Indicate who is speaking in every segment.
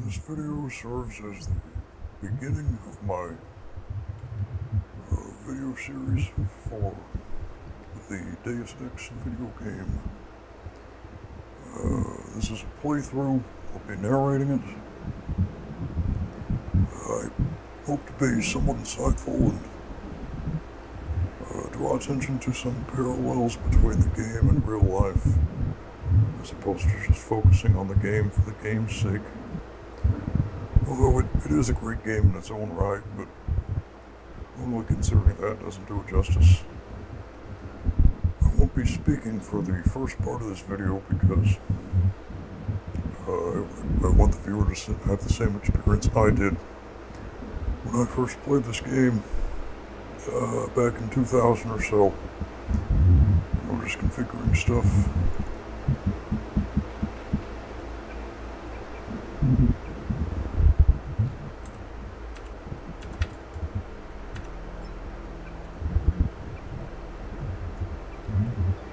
Speaker 1: This video serves as the beginning of my uh, video series for the Deus Ex video game. Uh, this is a playthrough. I'll be narrating it. I hope to be somewhat insightful and uh, draw attention to some parallels between the game and real life, as opposed to just focusing on the game for the game's sake. Although it, it is a great game in its own right, but only considering that doesn't do it justice. I won't be speaking for the first part of this video because uh, I want the viewer to have the same experience I did when I first played this game uh, back in 2000 or so. I was just configuring stuff.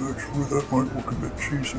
Speaker 1: Actually, that might look a bit cheesy.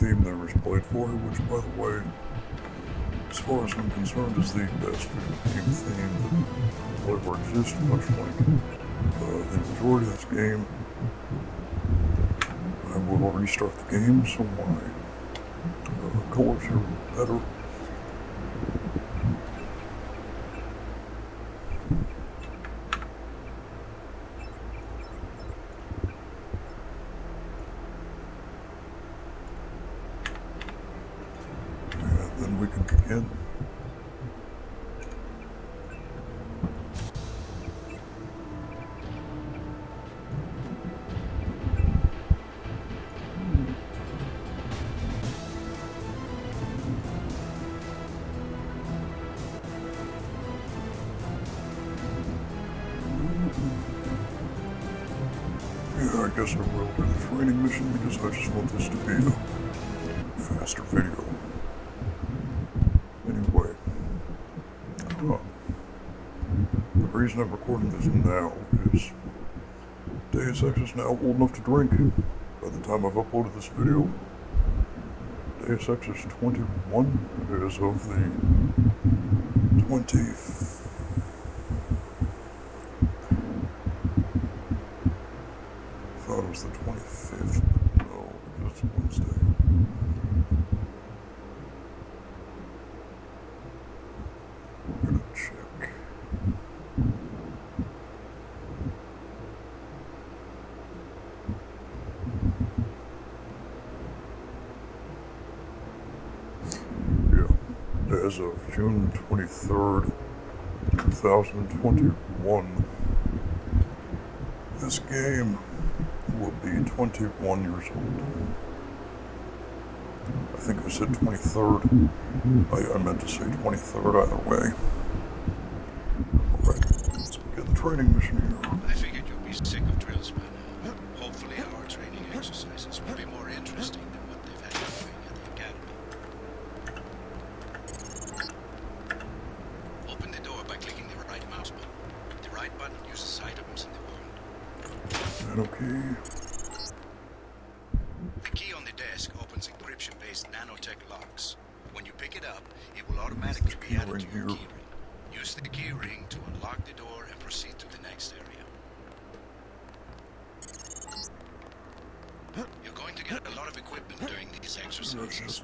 Speaker 1: theme that was played for you, which, by the way, as far as I'm concerned, it's the best video game theme that will ever exist, much like uh, the majority of this game. I will restart the game so my uh, colors are better. Yeah, then we can begin. Yeah, I guess I will do the training mission because I just want this to be a faster video. Anyway, uh, the reason I'm recording this now is Deus Ex is now old enough to drink. By the time I've uploaded this video, Deus Ex is 21. It is of the 20. Thought it was the 25th. No, it's Wednesday. Gonna check. Yeah. As of June 23rd, 2021, this game will be 21 years old. I think I said 23rd. I, I meant to say 23rd either way. Alright, let's the training mission here. I
Speaker 2: figured you'd be sick of drill Hopefully our training exercises will be more interesting than what they've had at the academy. Open the door by clicking based nanotech locks. When you pick it up, it will automatically be
Speaker 1: added to your here.
Speaker 2: Use the key ring to unlock the door and proceed to the next area. You're going to get a lot of equipment during these exercises. Press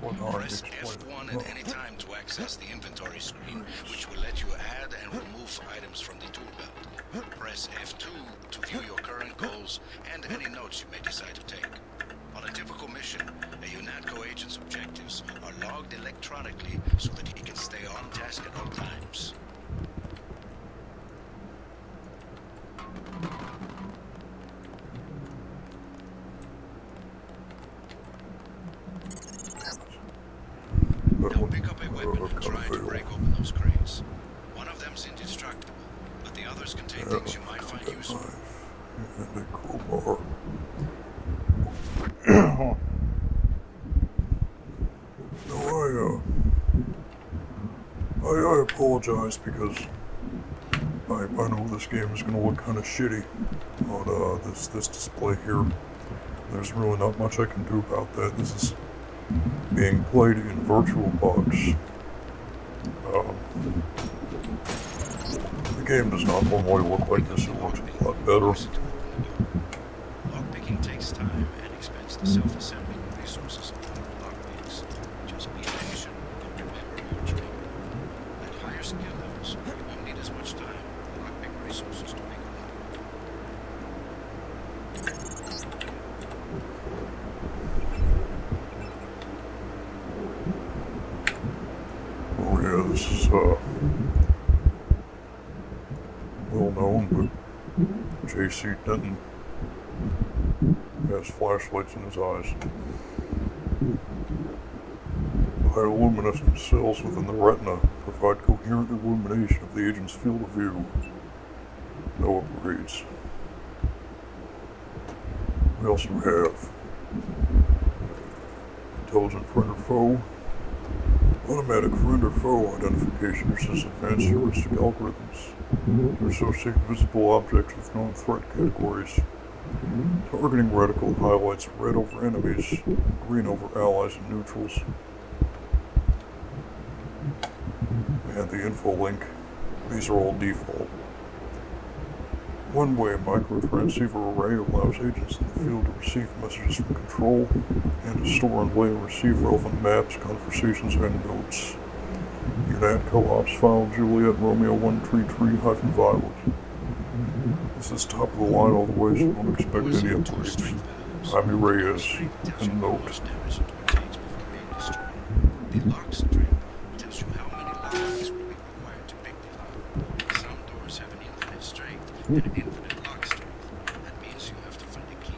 Speaker 2: F1 at any time to access the inventory screen, which will let you add and remove items from the tool belt. Press F2 to view your current goals and any notes you may decide to take. On a typical mission, a Unato agent's objective objectives are logged electronically so that he can stay on task at all times. pick up a weapon and try to break open those crates. One of them's indestructible, but the others contain things you might find useful. And a crowbar.
Speaker 1: I, I, apologize because I, I know this game is going to look kind of shitty on uh, this, this display here. There's really not much I can do about that. This is being played in VirtualBox. Um, the game does not normally look like this. It looks a lot
Speaker 2: better. Lockpicking takes time and expense to mm. self-assembling resources of all lockpicks. Just be patient and remember your training. At higher skill levels, you won't need as much time or lockpick resources to make
Speaker 1: a lot. Oh yeah, this is uh well known,
Speaker 2: but
Speaker 1: JC Denton has flashlights in his eyes. High luminescent cells within the retina provide coherent illumination of the agent's field of view. No upgrades. What else do We have Intelligent friend or foe. Automatic friend or foe identification uses advanced heuristic algorithms mm-hmm. to associate visible objects with known threat categories. Targeting radical highlights red over enemies, green over allies and neutrals. And the info link. These are all default. One-way microtransceiver array allows agents in the field to receive messages from control and store and play, receiver open maps, conversations, and notes. You add co-ops file Juliet Romeo 133 hyphen violet. This is top of the line all the way, so don't expect any upgrades. I'm Reyes, and note.
Speaker 2: The lock strip tells you how many locks will be required to pick the lock. Some doors have infinite strength and infinite lock strength. That means you have to find a key.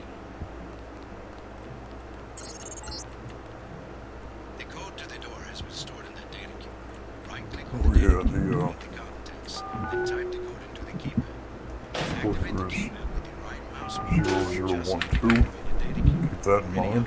Speaker 1: The code to the door has been stored in the data cube. Right click on oh, the yeah, the, uh, code into the Keep that in mind.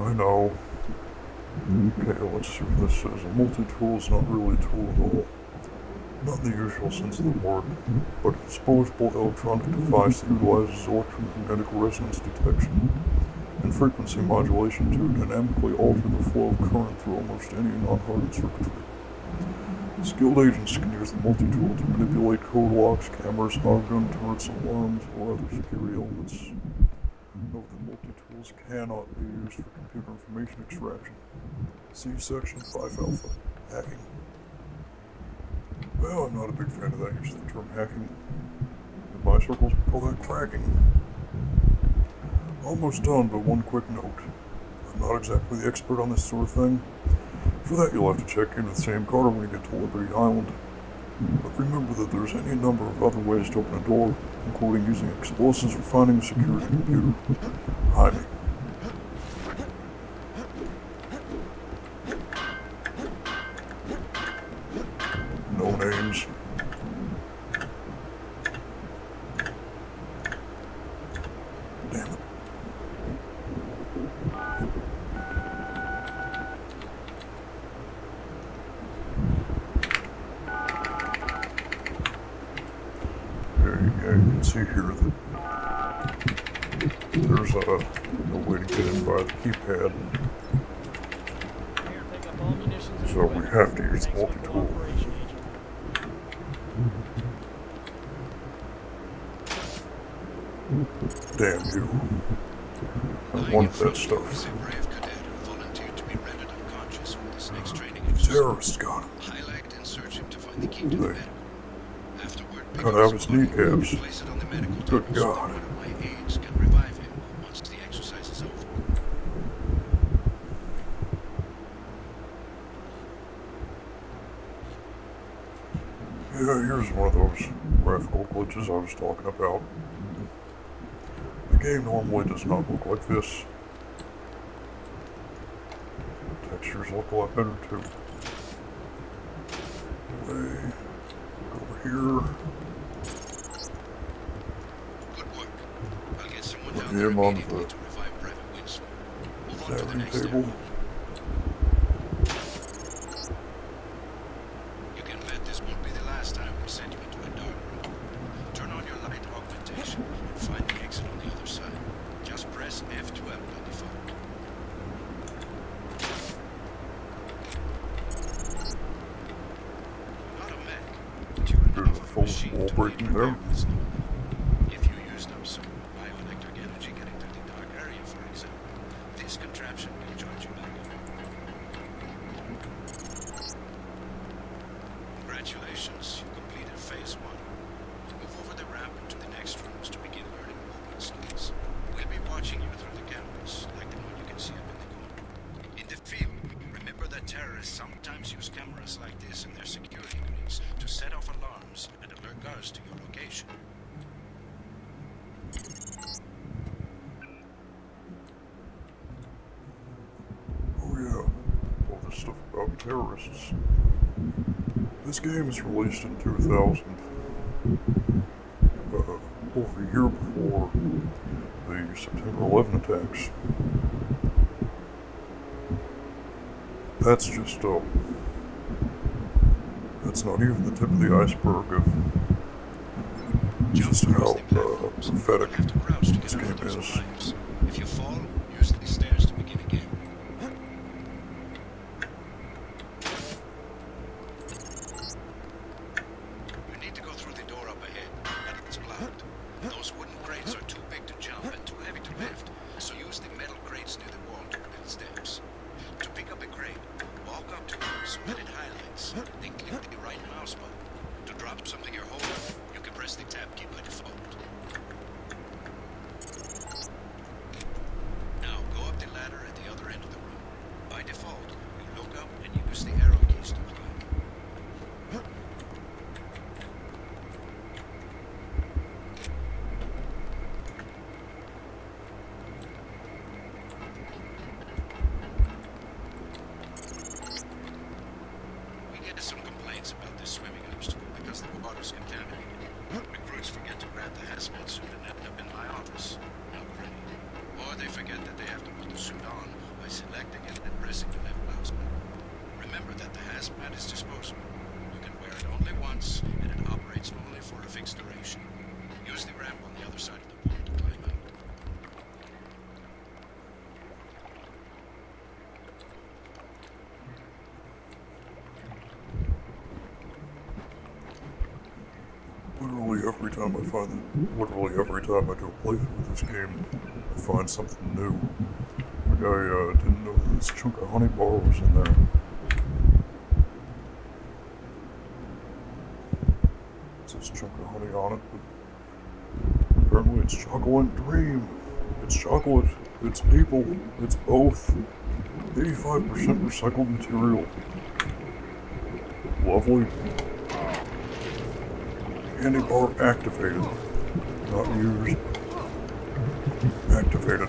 Speaker 1: I know. Okay, let's see what this says. A multi-tool is not really a tool at all. Not in the usual sense of the word, but a disposable electronic device that utilizes electromagnetic resonance detection and frequency modulation to dynamically alter the flow of current through almost any non-hardened circuitry. Skilled agents can use the multi-tool to manipulate code locks, cameras, hog guns, turrets, alarms, or other security elements note that multi-tools cannot be used for computer information extraction. See section 5 alpha, hacking. Well, I'm not a big fan of that use of the term hacking. In my circles, that cracking. Almost done, but one quick note. I'm not exactly the expert on this sort of thing. For that, you'll have to check in with Sam Carter when you get to Liberty Island. But remember that there's any number of other ways to open a door, including using explosives or finding a security computer. Hiding. No names. Damn there you go. You can see here that there's uh, no way to get in by the keypad. So we have to use multi-tool. Damn you.
Speaker 2: I want that stuff. Uh, Terrorist got to find the key to cut out
Speaker 1: his kneecaps.
Speaker 2: Good God.
Speaker 1: Yeah, here's one of those graphical glitches I was talking about. The game normally does not look like this. textures look a lot better too. over here. Put him on the stabbing table.
Speaker 2: You can bet this won't be the last time we send you into a dark room. Turn on your light augmentation and find the exit on the other side. Just press F twelve open on the phone.
Speaker 1: Not a mech, but you can have
Speaker 2: If you use them, some bioelectric energy getting through the dark area, for example. This contraption will charge you back up. Congratulations, you completed phase one. Move over the ramp into the next rooms to begin learning movement skills. We'll be watching you through the cameras, like the one you can see up in the corner. In the field, remember that terrorists sometimes use cameras like this in their security units to set off alarms and alert guards to your location.
Speaker 1: Oh yeah, all this stuff about terrorists. This game was released in 2000. Uh, over a year before the September 11 attacks. That's just, um, that's not even the tip of the iceberg of
Speaker 2: just how uh, pathetic this game If you fall, use the stairs to begin again. You need to go through the door up ahead, it's blocked. Those wooden crates are too big to jump and too heavy to lift, so use the metal crates near the wall to build steps. To pick up a crate, walk up to it, split it highlights, then click the right mouse button. To drop something you're holding, you can press the tab key by default. Now go up the ladder at the other end of the room. By default, look up and use the arrow keys to climb. We get some complaints about this swimming obstacle because the the the the the water is is contaminated. Recruits forget forget to to grab hasp hasp on suit suit and and end up in my office. Or they they that that have put by selecting pressing left mouse. Remember disposable. You can wear it only once, and it operates only for a fixed duration. Use the ramp on the other side Literally
Speaker 1: every time I find, literally every time I do a playthrough of this game, I find something new. Like I uh, didn't know this chunk of honey bar was in there. It chunk of honey on it, but apparently it's chocolate and dream. It's chocolate. It's people. It's both. 85% recycled material. Lovely. Any bar activated. Not used. Activated.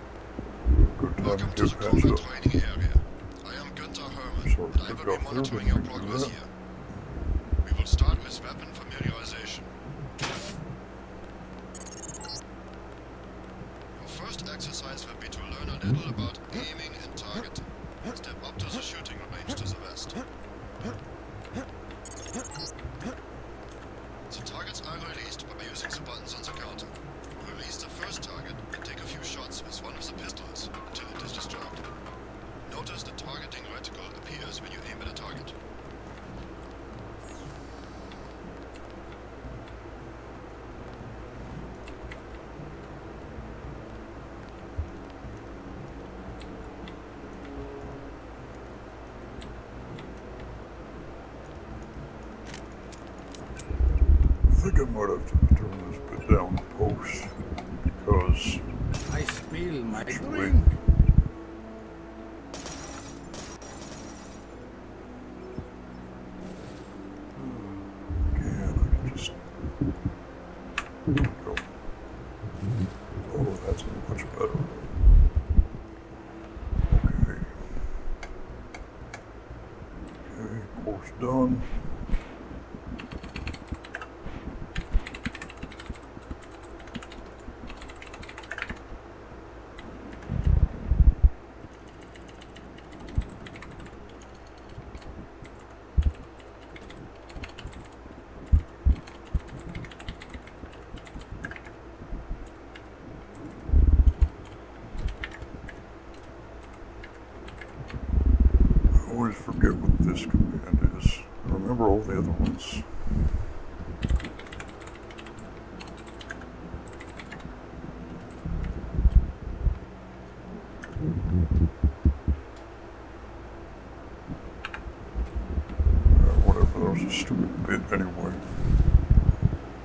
Speaker 3: Welcome to the Corona training area. I am Günther Hermann, and I will be monitoring your progress here. We will start with weapon familiarization. Your first exercise will be to learn a little about aiming and targeting. Step up to the shooting range to the west. The targets are released by using the buttons on the counter. Release the first target and take a few shots with one of the pistols until it is distracted. Notice the targeting reticle appears when you aim at a target.
Speaker 1: I think I might have to turn this bit down post because
Speaker 2: I spill my drink.
Speaker 1: Okay, course done. I always forget what this command is. I remember all the other ones. Uh, whatever, that was a stupid bit anyway.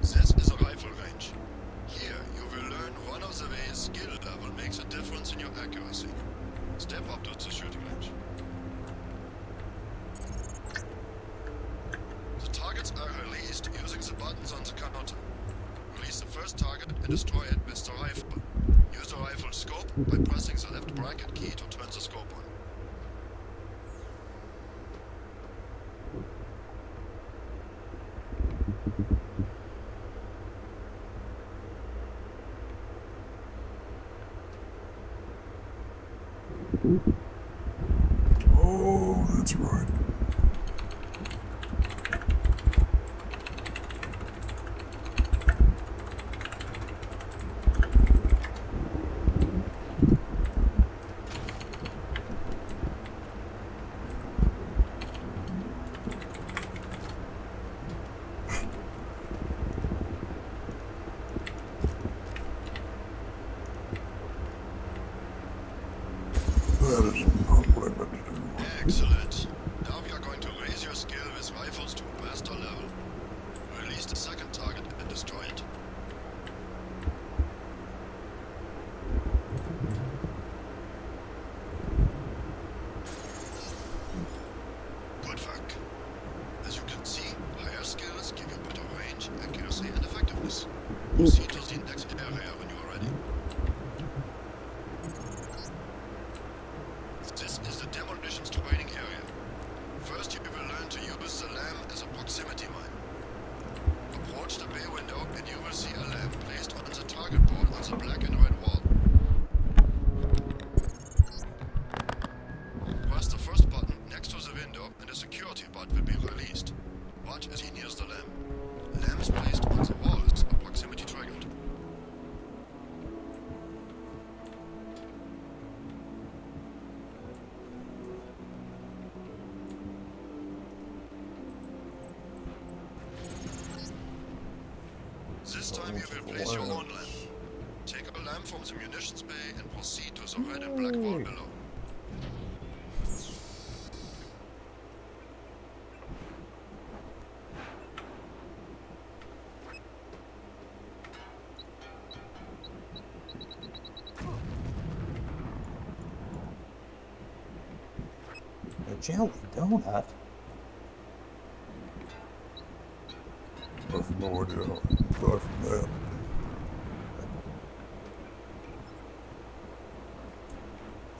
Speaker 3: This is a rifle range. Here, you will learn one of the ways skill level makes a difference in your accuracy. Step up to the shooting range. The targets are released using the buttons on the counter. Release the first target and destroy it with the rifle. Use the rifle scope by pressing the left bracket key to turn the scope
Speaker 2: Oh, that's right.
Speaker 3: Excellent. Now we are going to raise your skill with rifles to master level. Release the second target and destroy it. Good work. As you can see, higher skills give you better range, accuracy and effectiveness. Proceed to the next area when you are ready. This is the demolitions training area. First you will learn to use the lamp as a proximity mine. Approach the bay window and you will see a lamp placed on the target board on the black and red wall. Press the first button next to the window and the security bot will be released. Watch as he nears the lamp. is placed on the wall as a proximity trigger. This time you will place your own lamp. Take a lamp from the munitions bay and proceed to the red and black wall below.
Speaker 2: A jelly donut?
Speaker 1: That's no that.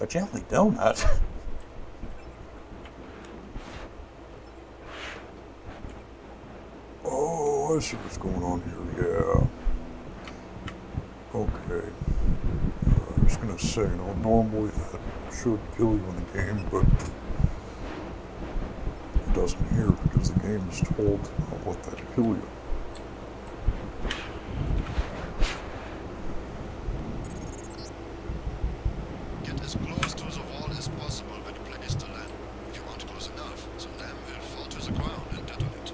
Speaker 1: A jelly donut? Oh, I see what's going on here. Yeah. Okay. Uh, I'm just gonna say, you know, normally that should kill you in the game, but it doesn't here because the game is told what to let kill you.
Speaker 3: If You aren't close enough, so Nam will fall to the ground and detonate.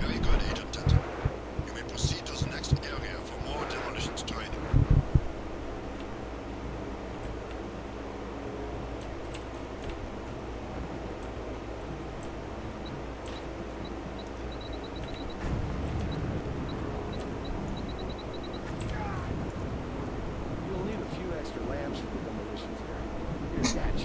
Speaker 3: Very good, Agent You may proceed to the next area for more demolitions training.
Speaker 2: You'll need a few extra lamps for the demolitions area. Here's that.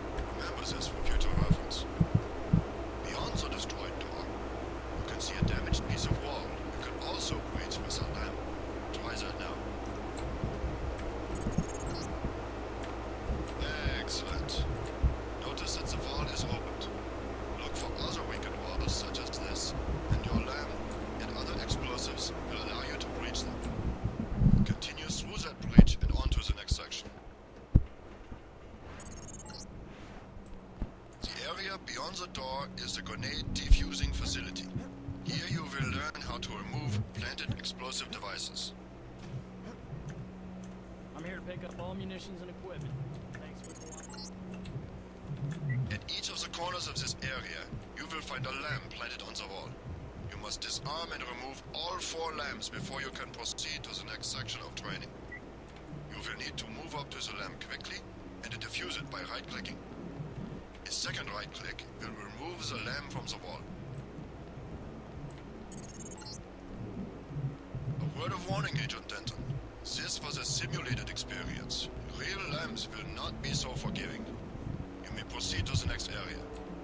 Speaker 3: The destroyed. You You can can see a damaged piece of wall. also breach land. now. Excellent. Notice is opened. Look for other other weakened such as this, and and your explosives will allow you to breach them. Continue through bridge and on to the next section. The area beyond the door is the grenade defusing facility. Here you will learn how to remove planted explosive devices. I'm here to pick up all munitions and equipment. Thanks for the At each of the corners of this area, you will find a lamp planted on the wall. You must disarm and remove all four lamps before you can proceed to the next section of training. You will need to move up to the lamp quickly and diffuse it by right-clicking. A second right-click will remove the lamp from the wall. A word of warning, Agent Denton. This was a simulated experience. Real lamps will not be so forgiving. You may proceed to the next area.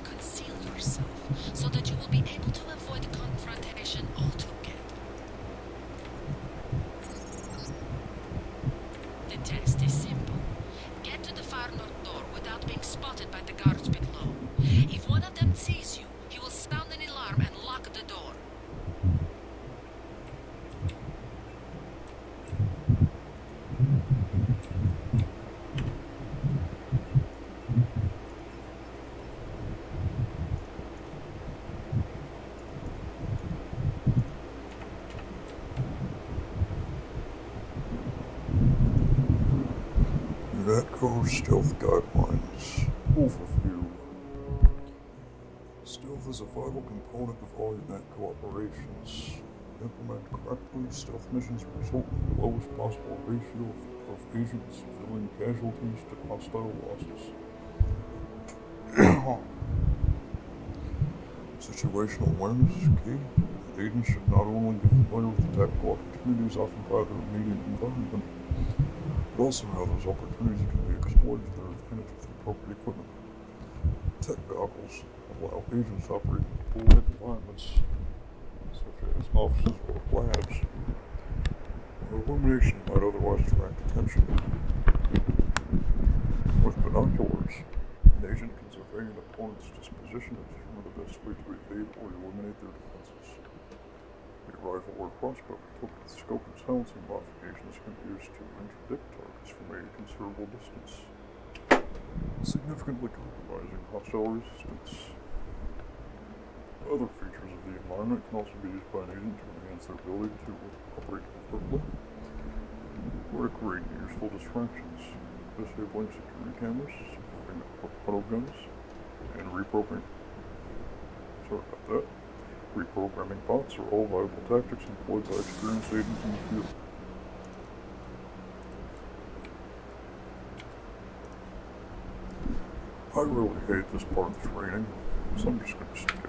Speaker 3: conceal yourself so that you will be able to avoid the confrontation altogether. The test is simple. Get to the far north door without being spotted by the guards below. If one of them sees you, he will sound an alarm and lock the door
Speaker 1: stealth guidelines. Overview. Stealth is a vital component of all unit operations. Implement correctly, stealth missions result in the lowest possible ratio of of decent civilian casualties to hostile losses. Situational awareness is key. Agents should not only be familiar with the tactical opportunities offered by the immediate environment, but also how those opportunities can be exploited to their advantage with appropriate equipment. Tech goggles allow agents to operate in deployed environments such as offices or labs, where illumination might otherwise attract attention. With binoculars, an agent can survey an opponent's disposition one of the best ways to evade or eliminate their defenses. A rifle or crossbow equipped with scope and silencing modifications can be used to interdict targets from a considerable distance, significantly compromising hostile resistance. Other features of the environment can also be used by an agent to enhance their ability to operate effectively, or to create useful distractions. disabling security cameras, supporting auto guns, and reprogramming. Sorry about that. Reprogramming bots are all viable tactics employed by experienced agents in the field. I really hate this part of the training, so I'm just going to skip it.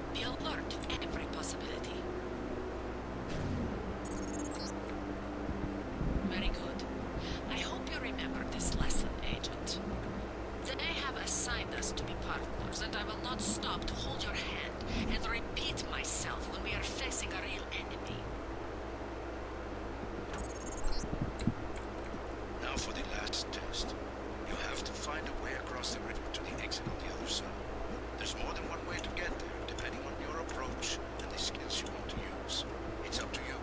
Speaker 3: Be alert to every possibility. Very good. I hope you remember this lesson, Agent. They have assigned us to be partners, and I will not stop to hold your hand and repeat myself when we are facing a real enemy.
Speaker 2: Now for the last test. You have to find a way across the river to the exit on the other side. There's more than one way to get there, depending on your approach and the skills you want to use. It's up to you.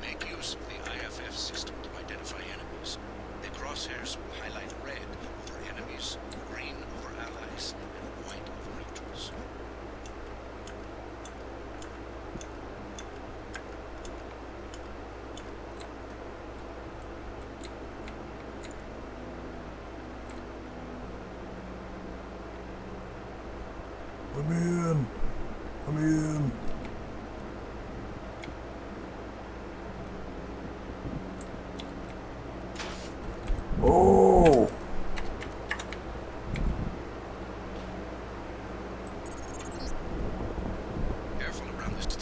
Speaker 2: Make use of the IFF system to identify enemies. The crosshairs will highlight red over enemies, green over allies, and white over neutrals.
Speaker 1: Let me in. Let me in. Oh.
Speaker 2: Careful around this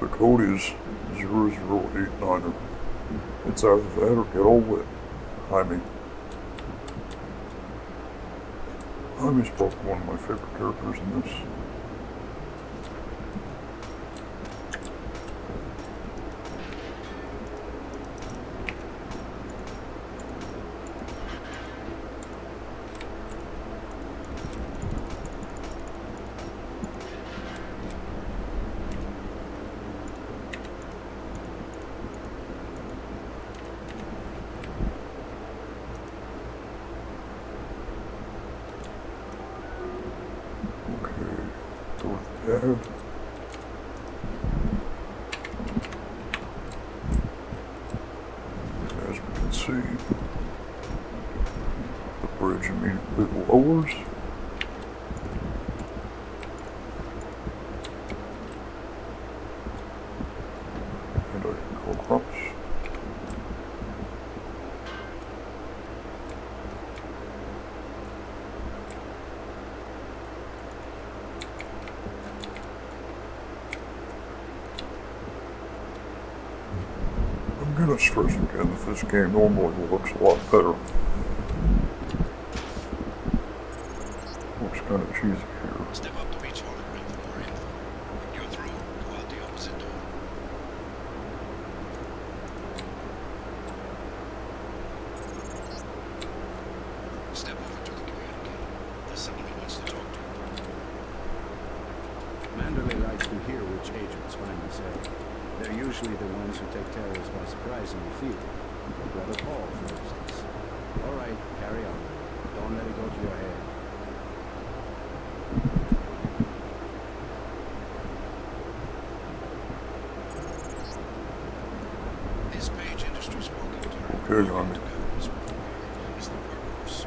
Speaker 1: The code is 0089. It's either that or get over it. Jaime. Jaime's probably one of my favorite characters in this as we bridge and meet with oars. I I'm gonna stress again. that This game normally looks a lot better. Which gotta choose here?
Speaker 2: Step up to each hologram for more info. you're through, go out the opposite door. Step over to the communicator. There's someone who wants to talk to you. Manderley likes to hear which agent. That's what I They're usually the ones who take terrorists by surprise in the field. Like Brother Paul, for instance. All right, carry on. Don't let it go to your head. This page industries walking during on it. is the workforce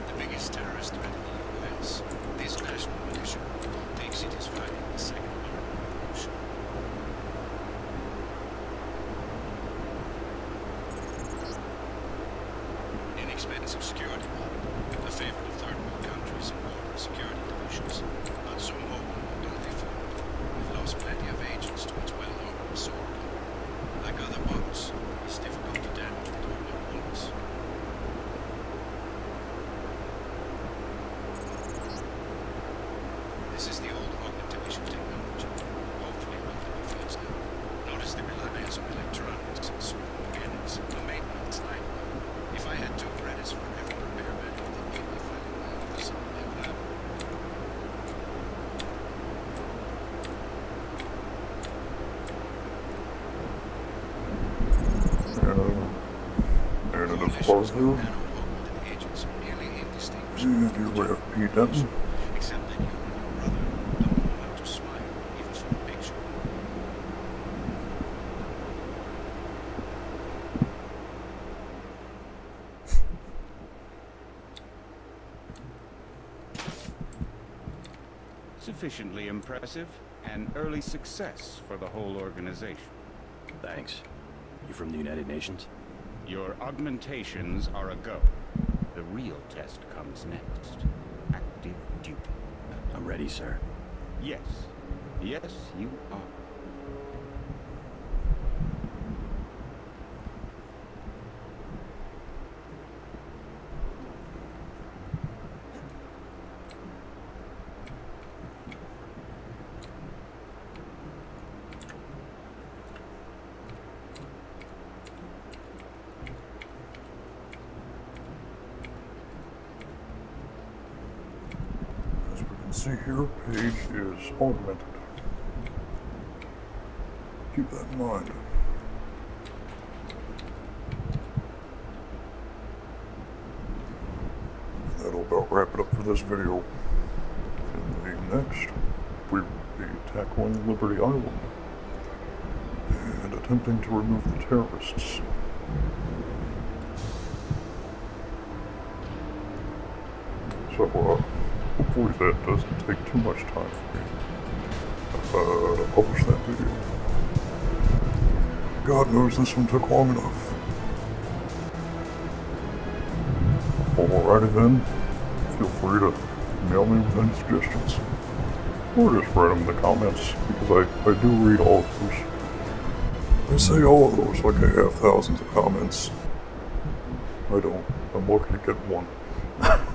Speaker 2: the biggest terrorist threat in the U.S. This national militia thinks it is in the Second American Revolution. Inexpensive security model, a favorite of third world countries and border security divisions, not so mobile nor duly We've lost plenty of agents to its well-known sword. Like other boats, it's difficult to damage it all at This is the old rocket division technology. Hopefully it will now. Notice the reliance on electronics, certain mechanics, the maintenance line. If I had two credits for every repairman, I think people find my office in my lab
Speaker 1: suppose you. You do what he does. Except that you and your brother don't know how to smile, even from a picture.
Speaker 2: Sufficiently impressive, an early success for the whole organization. Thanks. You from the United Nations? Your augmentations are a go. The real test comes next. Active duty. I'm ready, sir. Yes. Yes, you are. As we can see
Speaker 1: here, page is augmented. Keep that in mind. That'll about wrap it up for this video. In the next, we will be tackling Liberty Island and attempting to remove the terrorists. So, uh, hopefully that doesn't take too much time month uh, to publish that video. God knows this one took long enough. Alrighty then, feel free to mail me with any suggestions. Or just write them in the comments, because I, I do read all of those. I say all of those like I have thousands of comments. I don't. I'm lucky to get one.